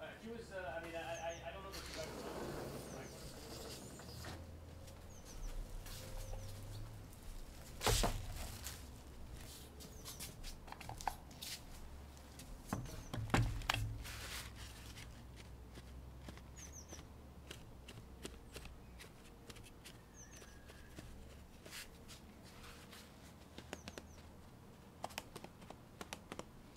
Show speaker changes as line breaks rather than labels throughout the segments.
Uh, he was, uh, I mean, I, I, don't know what you guys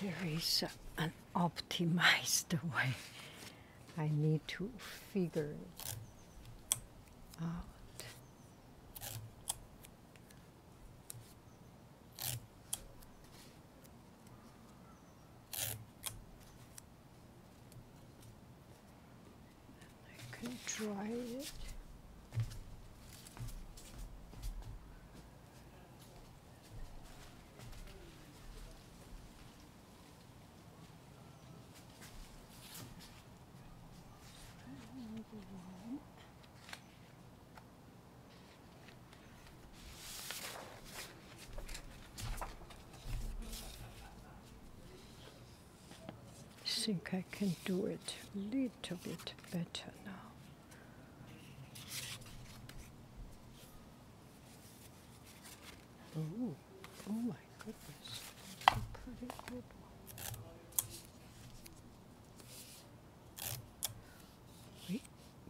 there is an optimized way I need to figure it out. I can try it. I think I can do it a little bit better now. Oh, oh my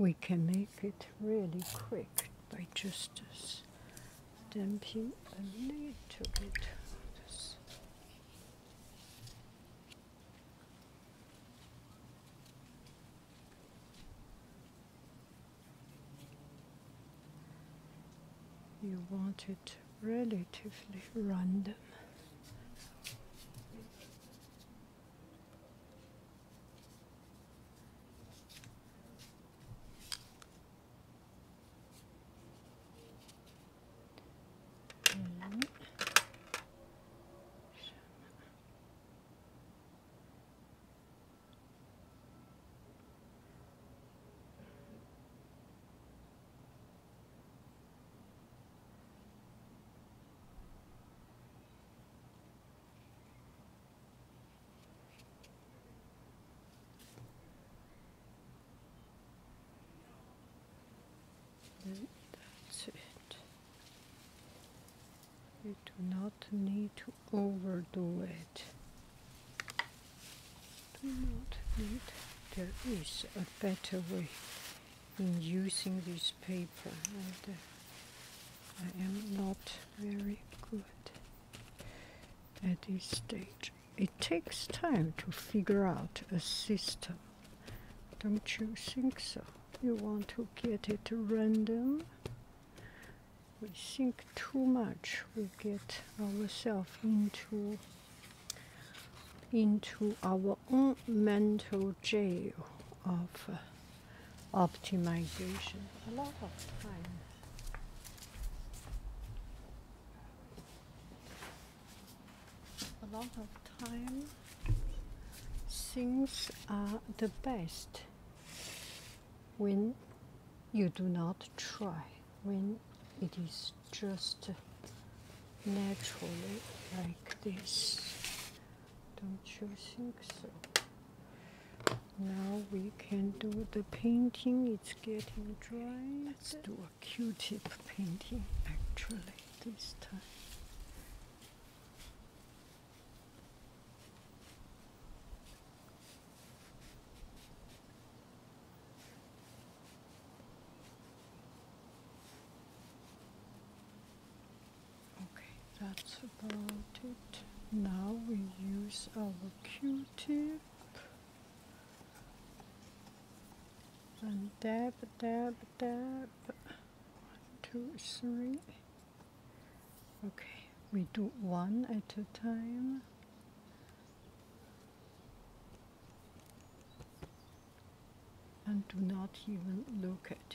we, can make it really quick by just damping a little bit. This. You want it relatively random that's it you do not need to overdo it do not need. There is a better way in using this paper, uh, I am not very good at this stage. It takes time to figure out a system. Don't you think so? You want to get it random we think too much, we get ourselves into into our own mental jail of uh, optimization a lot of time. A lot of time things are the best when you do not try when it is just naturally like this. Don't you think so? Now we can do the painting. It's getting dry. Let's do a Q-tip painting actually this time. Okay, that's about it. Now we use our Q-tip and dab, dab, dab. One, two, three. Okay, we do one at a time. And do not even look at it.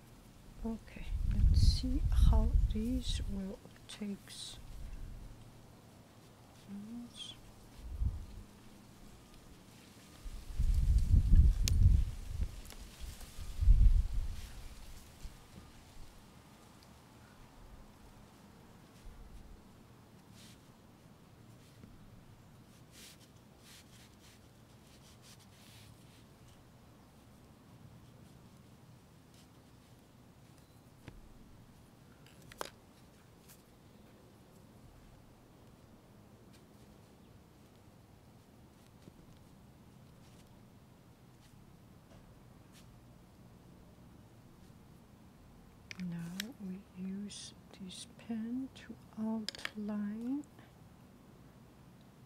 okay let's see how these will take now we use this pen to outline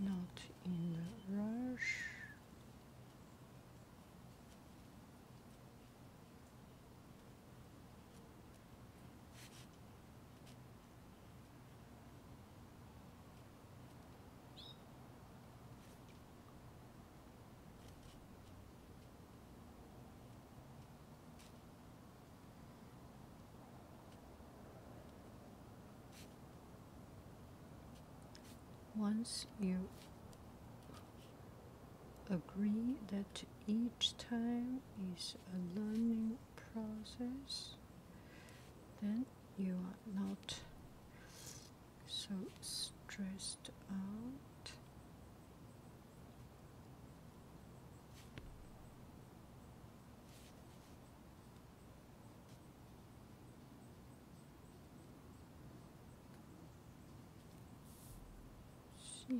not in the rush. Once you agree that each time is a learning process, then you are not so stressed out she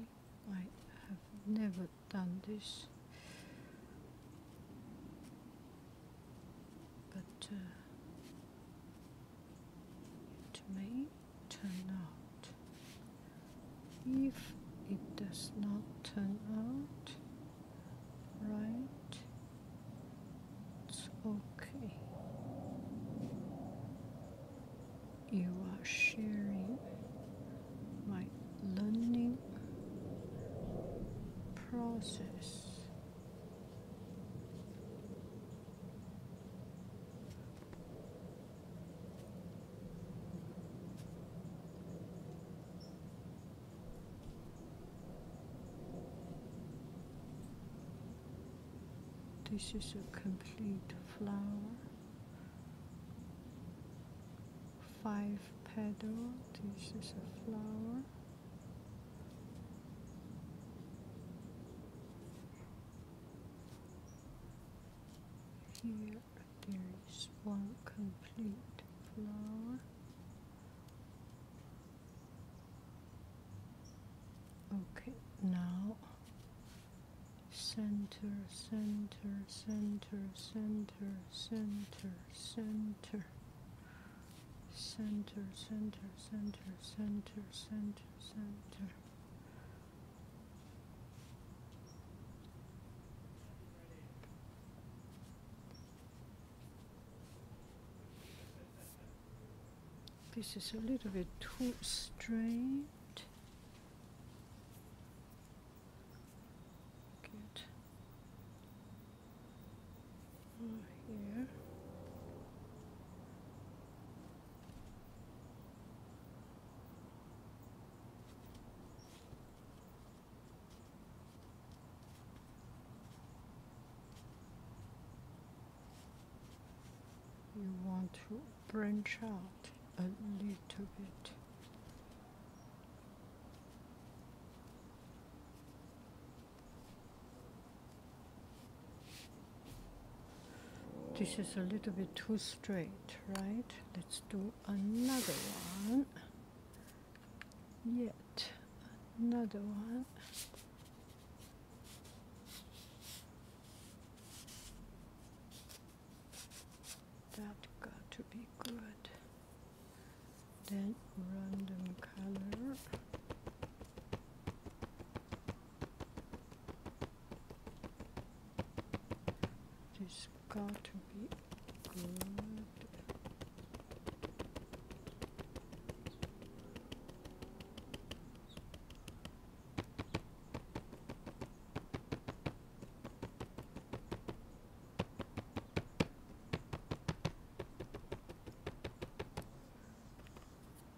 might have never done this but uh, it may turn out if it does not turn out right? It's okay. You are sharing my learning process. This is a complete flower, five petals. This is a flower. Here there is one complete flower. Okay, now center, center, center, center, center, center, center, center, center, center, center, center. This is a little bit too straight. Good. here you want to branch out a little bit. This is a little bit too straight, right? Let's do another one. Yet another one. That got to be good. Then random color. This got to be good.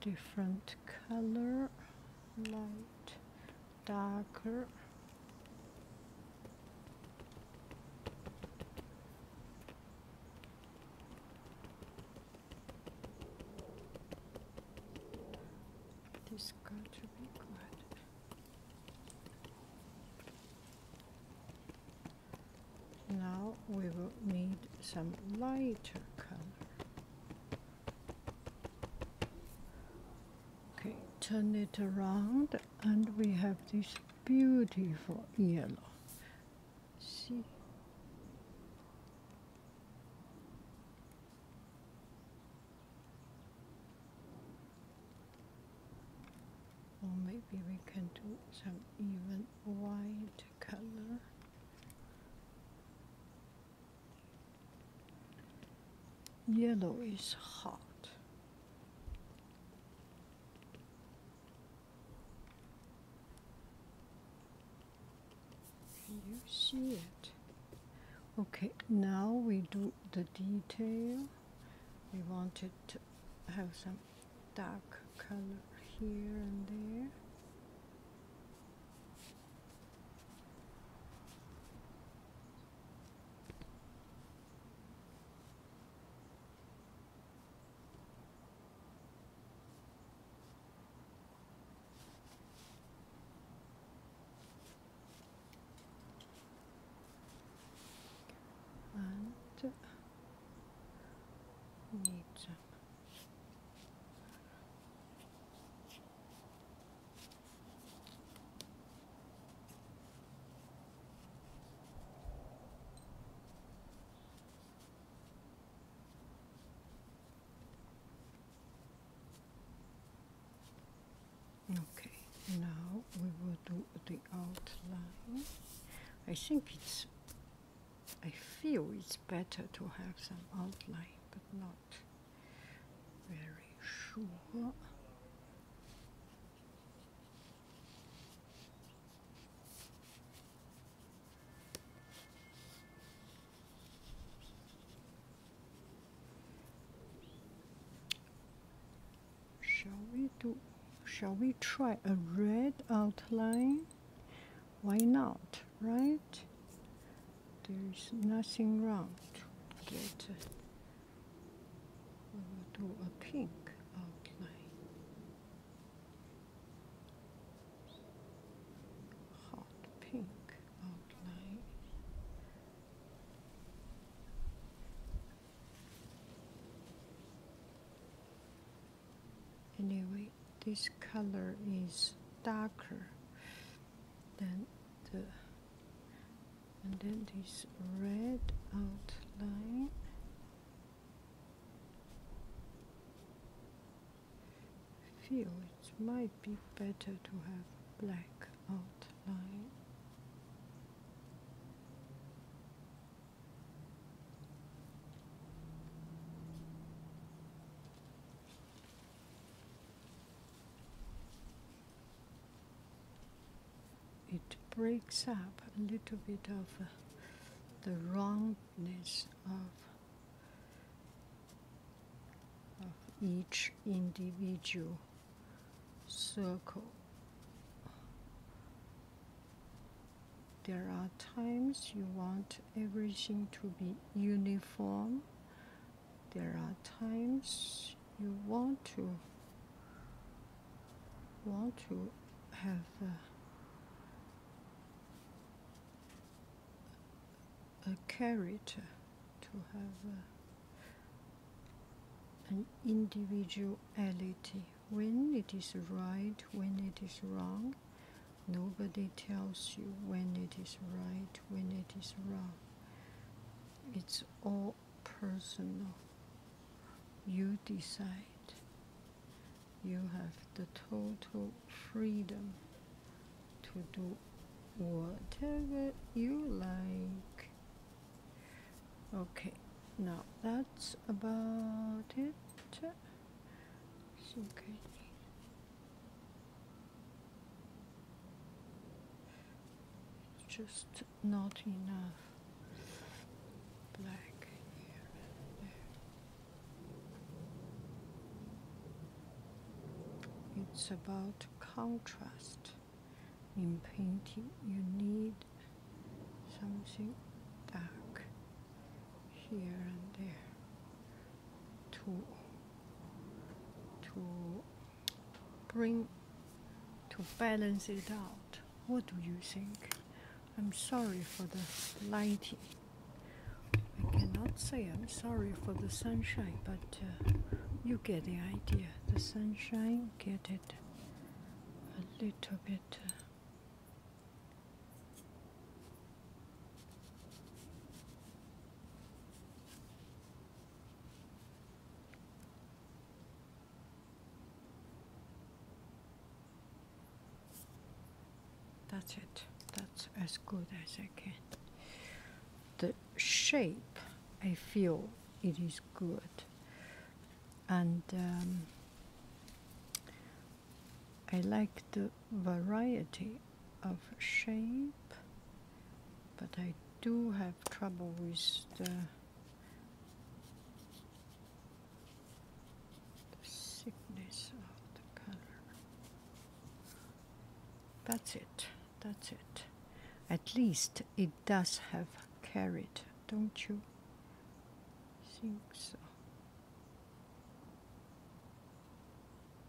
different color light darker. This got to be good. Now we will need some lighter color. Okay, turn it around and we have this beautiful yellow. See? Or maybe we can do some even white color. Yellow is hot. You see it. Okay, now we do the detail. We wanted to have some dark color here and there and medium. Okay, now we will do the outline. I think it's, I feel it's better to have some outline, but not very sure. Shall we do? Shall we try a red outline? Why not, right? There's nothing wrong get we will do a pink outline. Hot pink outline. Anyway, this color is darker than the and then this red outline feel it might be better to have black outline it breaks up a little bit of uh, the wrongness of each individual circle. There are times you want everything to be uniform there are times you want to want to have a, character to have an individuality when it is right when it is wrong nobody tells you when it is right when it is wrong it's it's all personal. You decide. You have the total freedom to do whatever you like. Okay, now that's about it. Okay. It's just not enough black here and there. It's about contrast. In painting, you need something dark here and there to to bring to balance it out. What do you think? I'm sorry for the lighting. I cannot say I'm sorry for the sunshine, but uh, you get the idea. The sunshine, get it a little bit. Uh, that's it. That's as good as I can. The shape, I feel it is good. And um, I like the variety of shape, but I do have trouble with the thickness of the color. That's it. That's it. At least it does have carrot, don't you think so?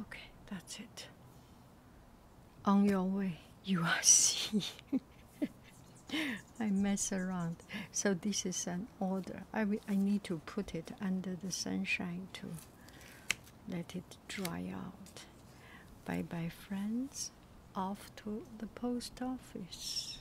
Okay, that's it. On your way, you are seeing. I mess around. So this is an order. I, I need to put it under the sunshine to let it dry out. Bye bye, friends. Off to the post office.